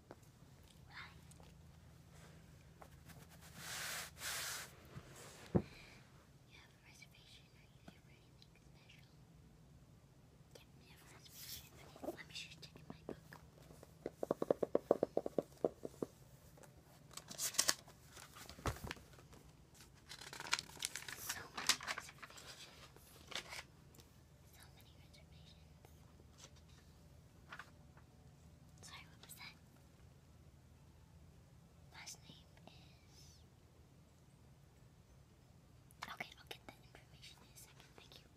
Right. You have a reservation, are you here for anything special? Yep, we have a reservation. Okay, let me just check in my book. So many reservations. So many reservations. Sorry, what was that? Last name is. Okay, I'll get that information in a second. Thank you.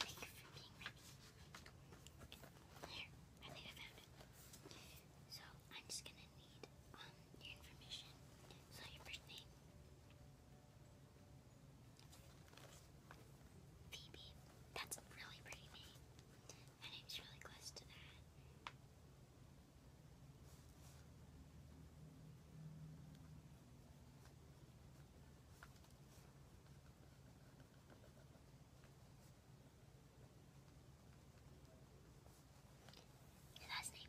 Thank you for being ready. There, I think I found it. So, I'm just gonna need um, your information. So, your first name. Phoebe. That's a really pretty name. My name's really close to that. last name.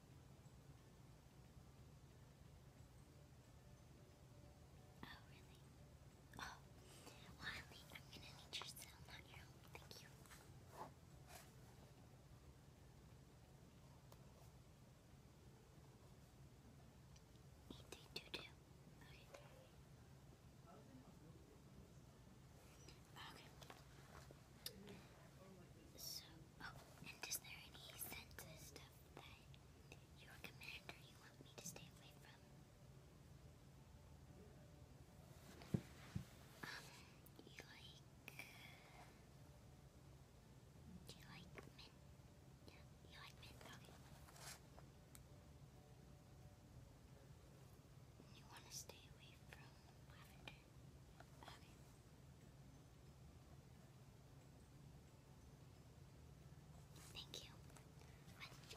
Oh, really? Oh, well, I'm gonna need your cell, not your own. Thank you. Eight, three, two, two. Okay. Okay. So, Oh, and is there any senses stuff that your commander you want me to stay away from? Um, you like... Do you like mint? Yeah, you like mint, You want to stay away from lavender? Okay. Thank you.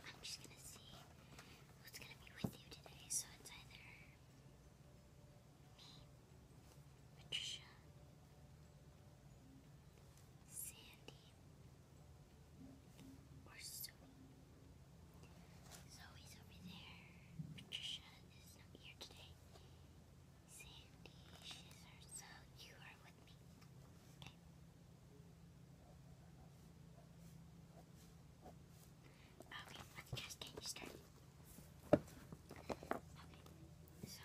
I'm just gonna see who's gonna be with you today, so it's either me, Patricia, Sandy, or Zoe. Zoe's over there. Patricia is not here today. Sandy, scissors, so you are with me. Okay. let's just get you started. Okay, so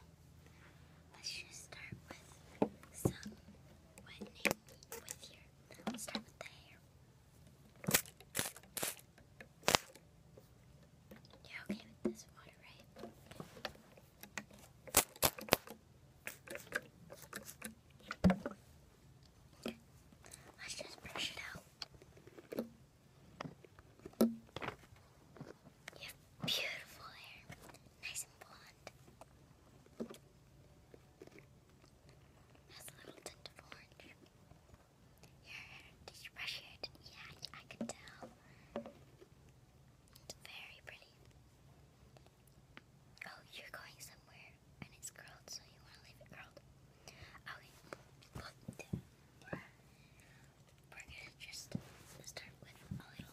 let's just start with some whitening with your. Let's start with the hair. You're okay with this water, right? Let's just brush it out. You have beautiful hair, nice and blonde. Has a little tint of orange. Your tissue Yeah, I can tell. It's very pretty. Oh, you're going somewhere and it's curled, so you want to leave it curled. Okay. we're gonna just start with a little.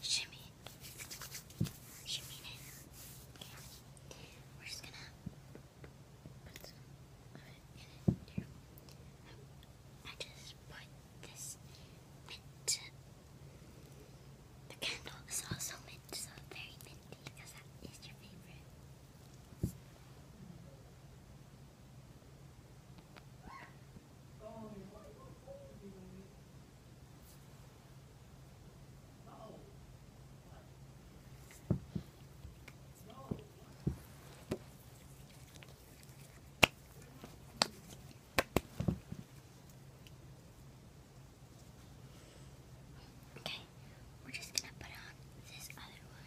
Shimmy. Shimmy Okay. We're just gonna put it in here. I just put this mint. The candle is also mint, so very minty because that is your favorite. Okay, we're just gonna put on this other one.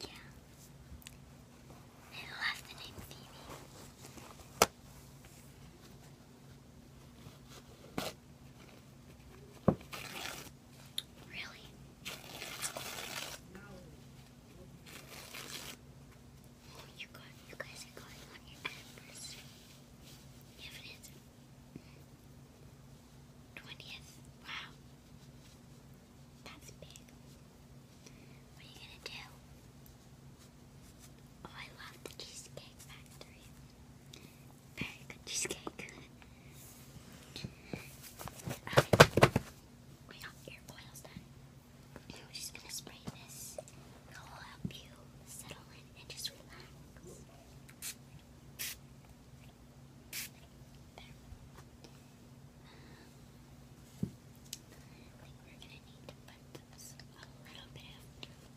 Yeah. I love the name Really? Oh, you got you guys are going on your anniversary. You have Twentieth. Wow. That's big. What are you gonna do? Oh, I love the Cheesecake Factory. Very good cheesecake. okay. We got your oils done. We're just gonna spray this. It'll help you settle in and just relax. There. I think we're gonna need to put a little bit of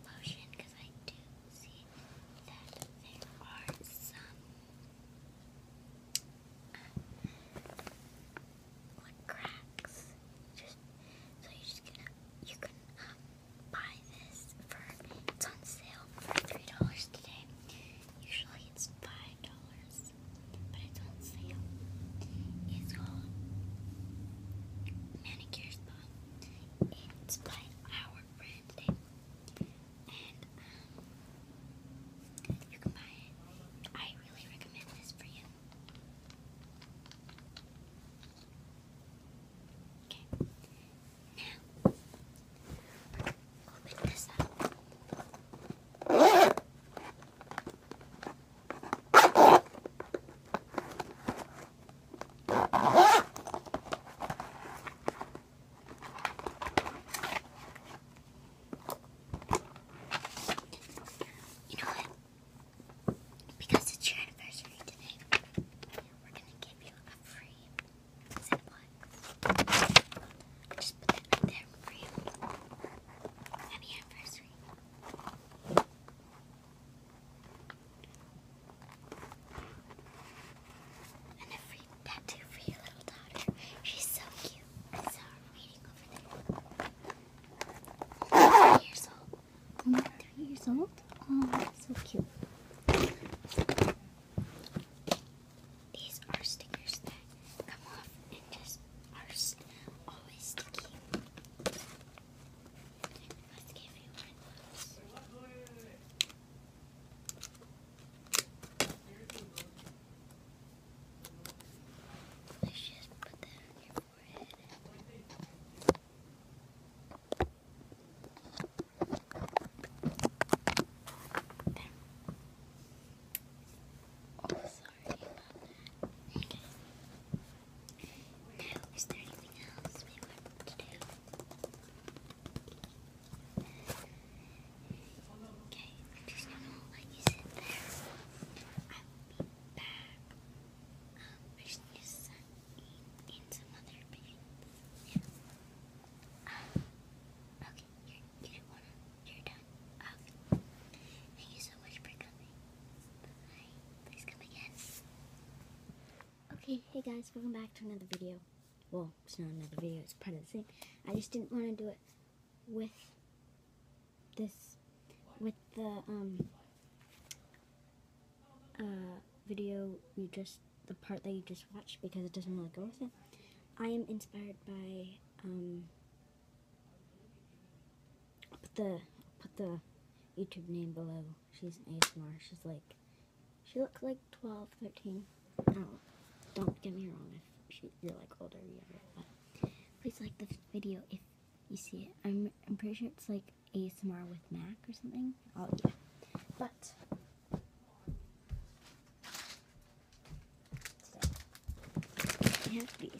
lotion because I do see that there are some like cracks. so you're just gonna you can um, buy this for it's on sale for three dollars today. Usually it's five dollars, but it's on sale. It's called Manicure Spa. It's by our brand name, and um, you can buy it. I really recommend this for you. Okay. Now, We'll pick this up. You know what? Because it's your anniversary today, we're gonna give you a free zip lock. just put that there for you. Happy anniversary. And a tattoo for your little daughter. She's so cute. I years old. Only years old? Oh, that's so cute. These are stickers that come off and just are st always sticky. Let's give you one Let's just put that on your forehead. Oh, sorry Okay. Now, is there anything else we want to do? Okay, just gonna let you sit there. I will be back. Um, I just in some other paint. Yeah. Um, okay, Okay. Oh. Okay, hey guys, welcome back to another video. Well, it's not another video, it's part of the same. I just didn't want to do it with this, with the, um, uh, video you just, the part that you just watched because it doesn't really go with it. I am inspired by um, put the put the YouTube name below. She's an ASMR. She's like she looks like 12, 13. I don't don't get me wrong if you're like older or younger, but please like the video if you see it. I'm I'm pretty sure it's like ASMR with Mac or something. Oh yeah, but. So, I have these.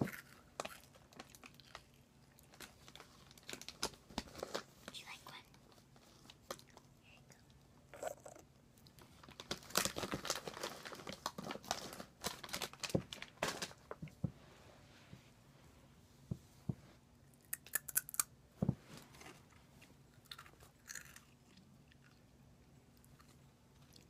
Do you like one? Here you go.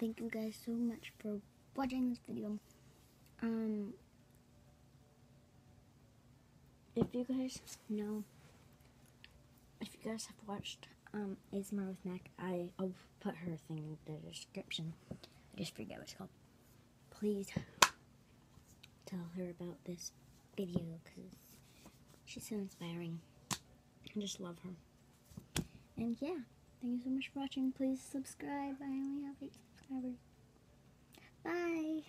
Thank you guys so much for watching this video. Um, if you guys know, if you guys have watched um, ASMR with Mac, I, I'll put her thing in the description. I just forget what it's called. Please tell her about this video because she's so inspiring. I just love her. And yeah, thank you so much for watching. Please subscribe. I only have 8 subscribers. Bye!